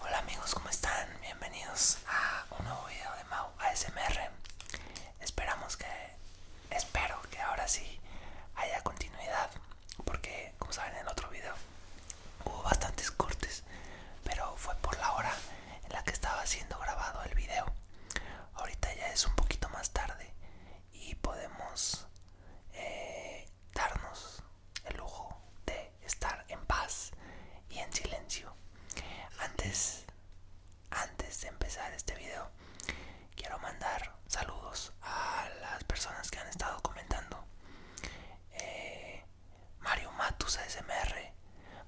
Hola amigos, ¿cómo están? Bienvenidos a un nuevo video de Mau ASMR. Esperamos que, espero que ahora sí haya continuidad, porque como saben en el otro video hubo bastantes cortes, pero fue por la hora en la que estaba siendo grabado el video. Ahorita ya es un poquito más tarde y podemos eh, darnos el lujo de estar en paz y en silencio. Antes, antes de empezar este video, quiero mandar saludos a las personas que han estado comentando. Eh, Mario Matus ASMR,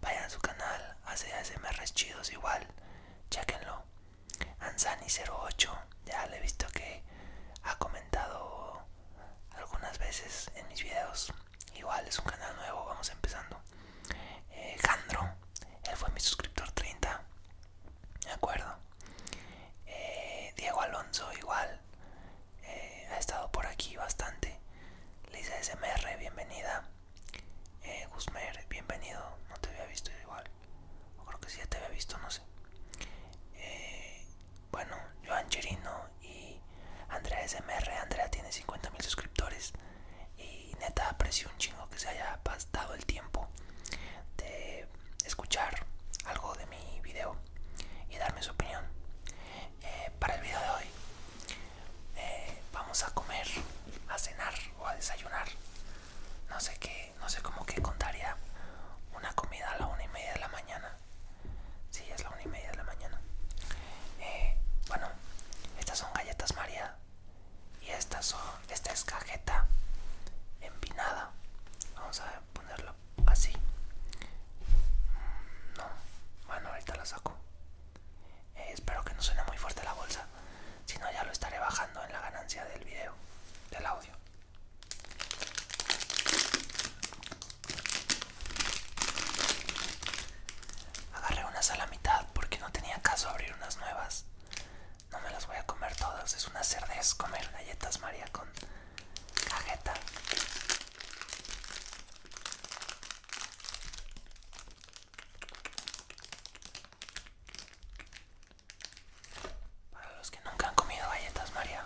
vayan a su canal, hace ASMRs chidos igual, chequenlo. Ansani08, ya le he visto que ha comentado algunas veces en mis videos. Igual es un canal nuevo, vamos empezando. Eh, Jandro, él fue mi suscriptor 30, De acuerdo. Eh, Diego Alonso, igual, eh, ha estado por aquí bastante. Lisa SMR, bienvenida. Eh, Guzmer, bienvenido. No te había visto igual. creo que sí ya te había visto, no sé. Eh, bueno, yo Chirino y Andrea SMR. Andrea tiene 50.000 suscriptores. Y neta, aprecio un chingo que se haya pasado el tiempo de escuchar algo de mi video y darme su opinión. Eh, para el video de hoy, eh, vamos a comer, a cenar o a desayunar. No sé qué, no sé cómo que contaría una comida a la una y media de la mañana. Sí, es la una y media de la mañana. Eh, bueno, estas son galletas María. Y estas son, esta es cajeta empinada. Vamos a ponerlo así. Mm, no, bueno, ahorita la saco. Eh, espero que no suene muy fuerte la bolsa. Si no, ya lo estaré bajando en la ganancia del video, del audio. Agarré unas a la mitad porque no tenía caso abrir unas nuevas. No me las voy a comer todas, es una cerdez comer galletas María con cajeta. Para los que nunca han comido galletas María,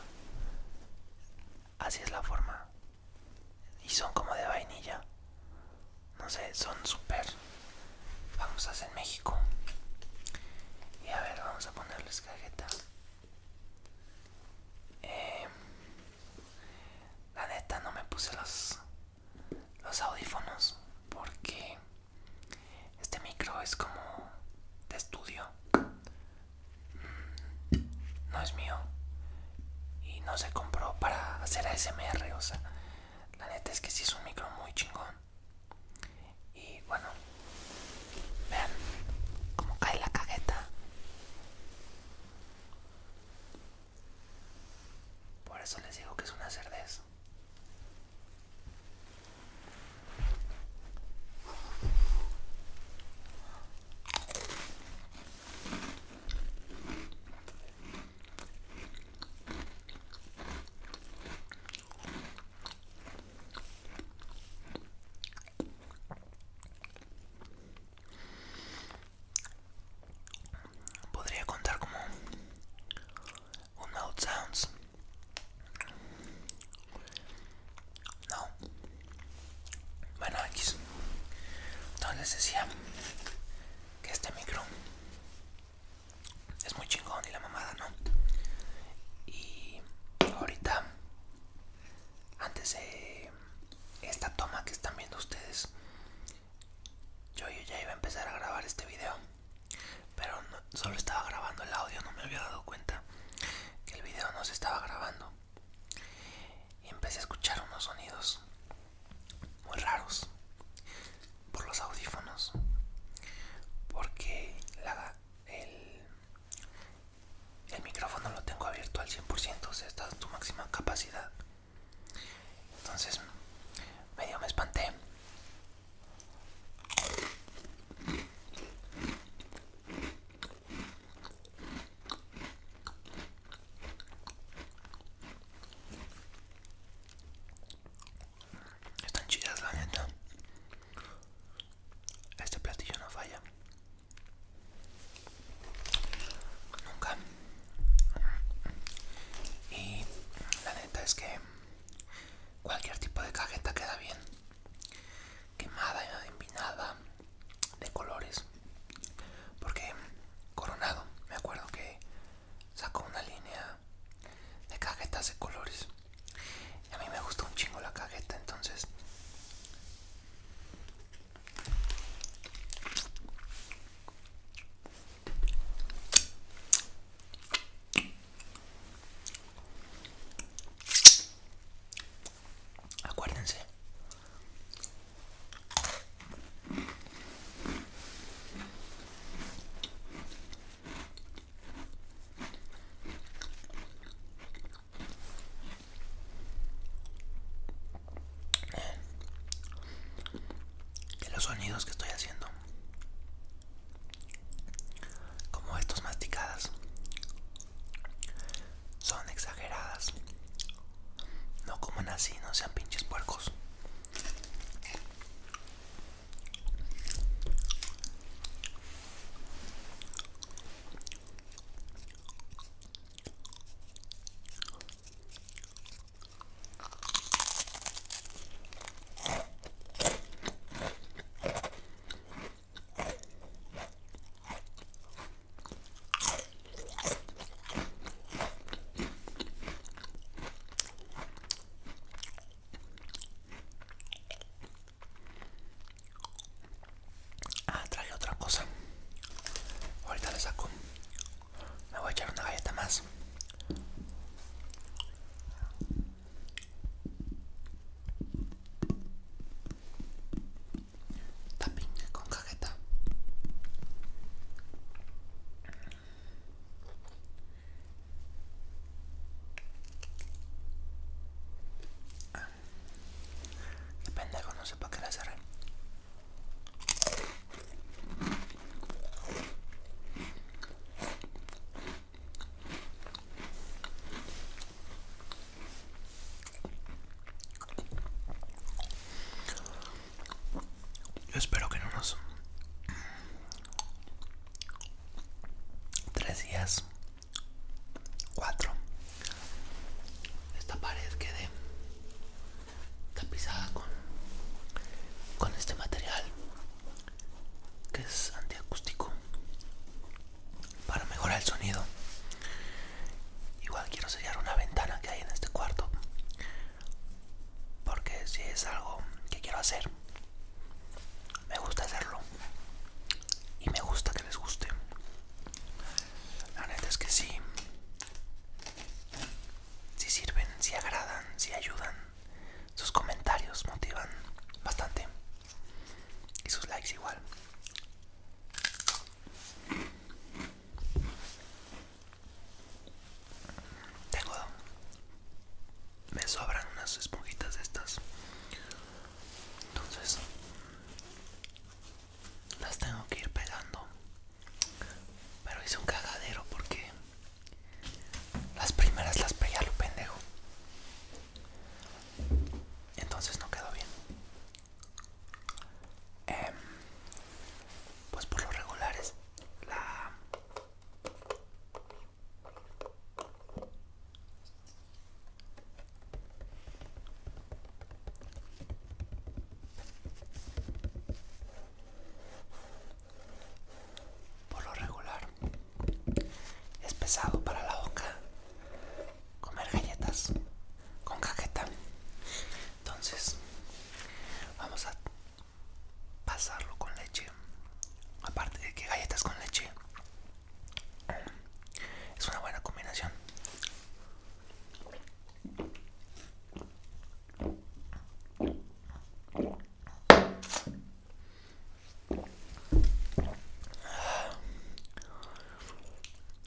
así es la forma. Y son como de vainilla. No sé, son súper a en México. Y a ver, vamos a ponerles las em, la neta no me puse los, los audífonos porque este micro es como de estudio no es mío y no se compró para hacer ASMR, o sea, la neta es que sí es un micro muy chingón. Y bueno, vean cómo cae la cagueta. Por eso les digo que es una cerdez. Podría contar como un mouth sounds no. Bueno, X. Entonces les decía que este micro es muy chingón y la mamada, ¿no? Y ahorita, antes de esta toma que están viendo ustedes, yo ya iba a empezar a grabar este video pero solo estaba grabando el audio, no me había dado cuenta que el video no se estaba grabando. Y empecé a escuchar unos sonidos muy raros por los audífonos, porque el, el micrófono lo tengo abierto al 100%, o sea, está a tu máxima capacidad. Entonces medio me espanté están chidas la neta. Este platillo no falla. Nunca. Y la neta es que cualquier tipo de cajeta queda bien quemada y empinada de colores porque Coronado me acuerdo que sacó una línea de cajetas de colores y a mí me gustó un chingo la cajeta entonces Acuérdense. Eh, de los sonidos que estoy haciendo como estas masticadas son exageradas no coman así no sean pinches puercos Ah, trae otra cosa. Ahorita le saco. Me voy a echar una galleta más. La con cajeta. Depende Qué pendejo, no sé para qué la cerré. Yo espero que en unos tres días, cuatro, esta pared quede tapizada con, con este material que es antiacústico para mejorar el sonido igual quiero sellar una ventana que hay en este cuarto porque si es algo que quiero hacer me gusta hacerlo y me gusta que les guste la neta es que sí si sirven si agradan si ayudan sus comentarios motivan bastante. Y sus likes igual. Tengo. Me sobran unas esponjitas de estas. Entonces. Las tengo que ir pegando. Pero hice un cagadero porque las primeras las pegué a lo pendejo. Entonces no quedó bien. Em, pues por los regulares, la... Por lo regular, es pesado para la boca comer galletas con cajeta. Entonces, vamos a pasarlo con leche. Aparte de que galletas con leche es una buena combinación.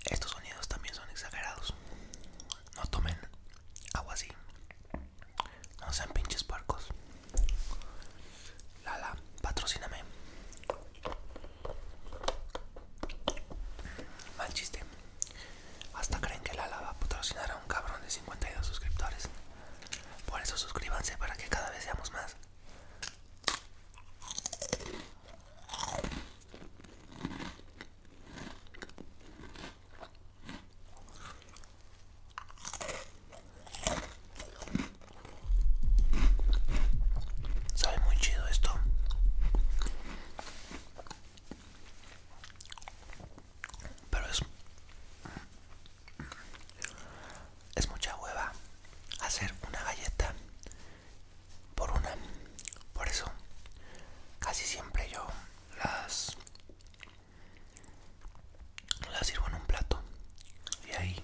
Estos sonidos también son exagerados. No tomen agua así. No sean pinches puercos. Lala, patrocíname. Mal chiste. Hasta creen que la lava patrocinar a un cabrón de 52 suscriptores. Por eso suscríbanse para que cada vez seamos más. Sabe muy chido esto. Pero es es mucha hueva hacer una galleta por una. Por eso casi siempre yo las las sirvo en un plato y ahí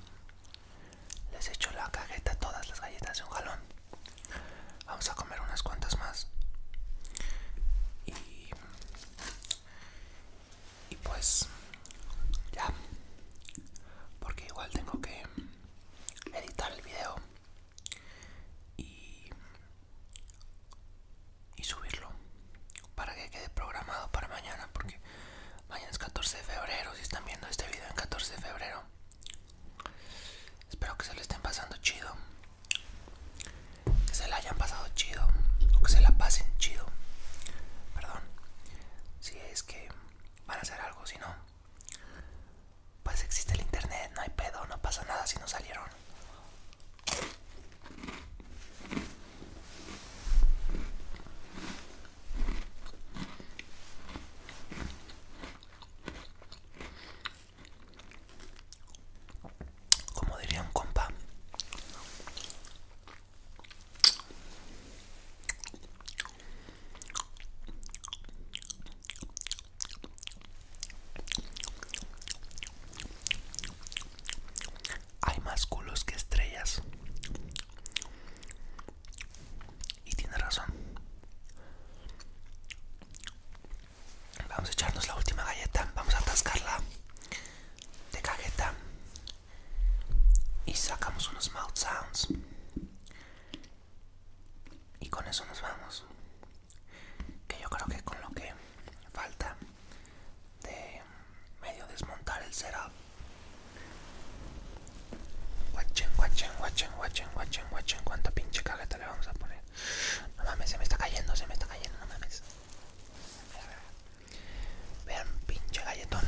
les echo la cajeta todas las galletas de un jalón. Vamos a comer unas cuantas más. Y y pues ya porque igual tengo que editar el video y, subirlo para que quede programado para mañana porque mañana es 14 de febrero si están viendo este video en 14 de febrero espero que se lo estén pasando chido que se la hayan pasado chido o que se la pasen chido perdón si es que van a hacer algo si no pues existe el internet no hay pedo no pasa nada si no salieron como diría un compa. Hay más culos que estrellas. Y tiene razón. Vamos a echarnos la última galleta. Vamos a atascarla de galleta Y sacamos unos mouth sounds. Y con eso nos vamos. Que yo creo que con lo que falta de medio desmontar el setup. Guachen, guachen, guachen, guachen, guachen, guachen. Cuánta pinche cajeta le vamos a poner. No mames, se me está cayendo, se me está cayendo, no mames. Vean, pinche galletón.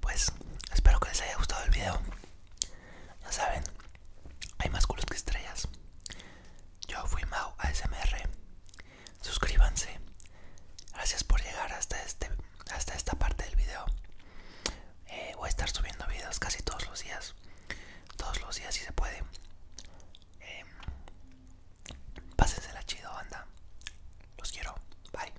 pues espero que les haya gustado el video. Ya saben, hay más culos que estrellas. Yo fui Mau ASMR. Suscríbanse. Gracias por llegar hasta este hasta esta parte del video. Eh, voy a estar subiendo videos casi todos los días. Todos los días si se puede. Em, pásensela chido, anda. Los quiero. Bye.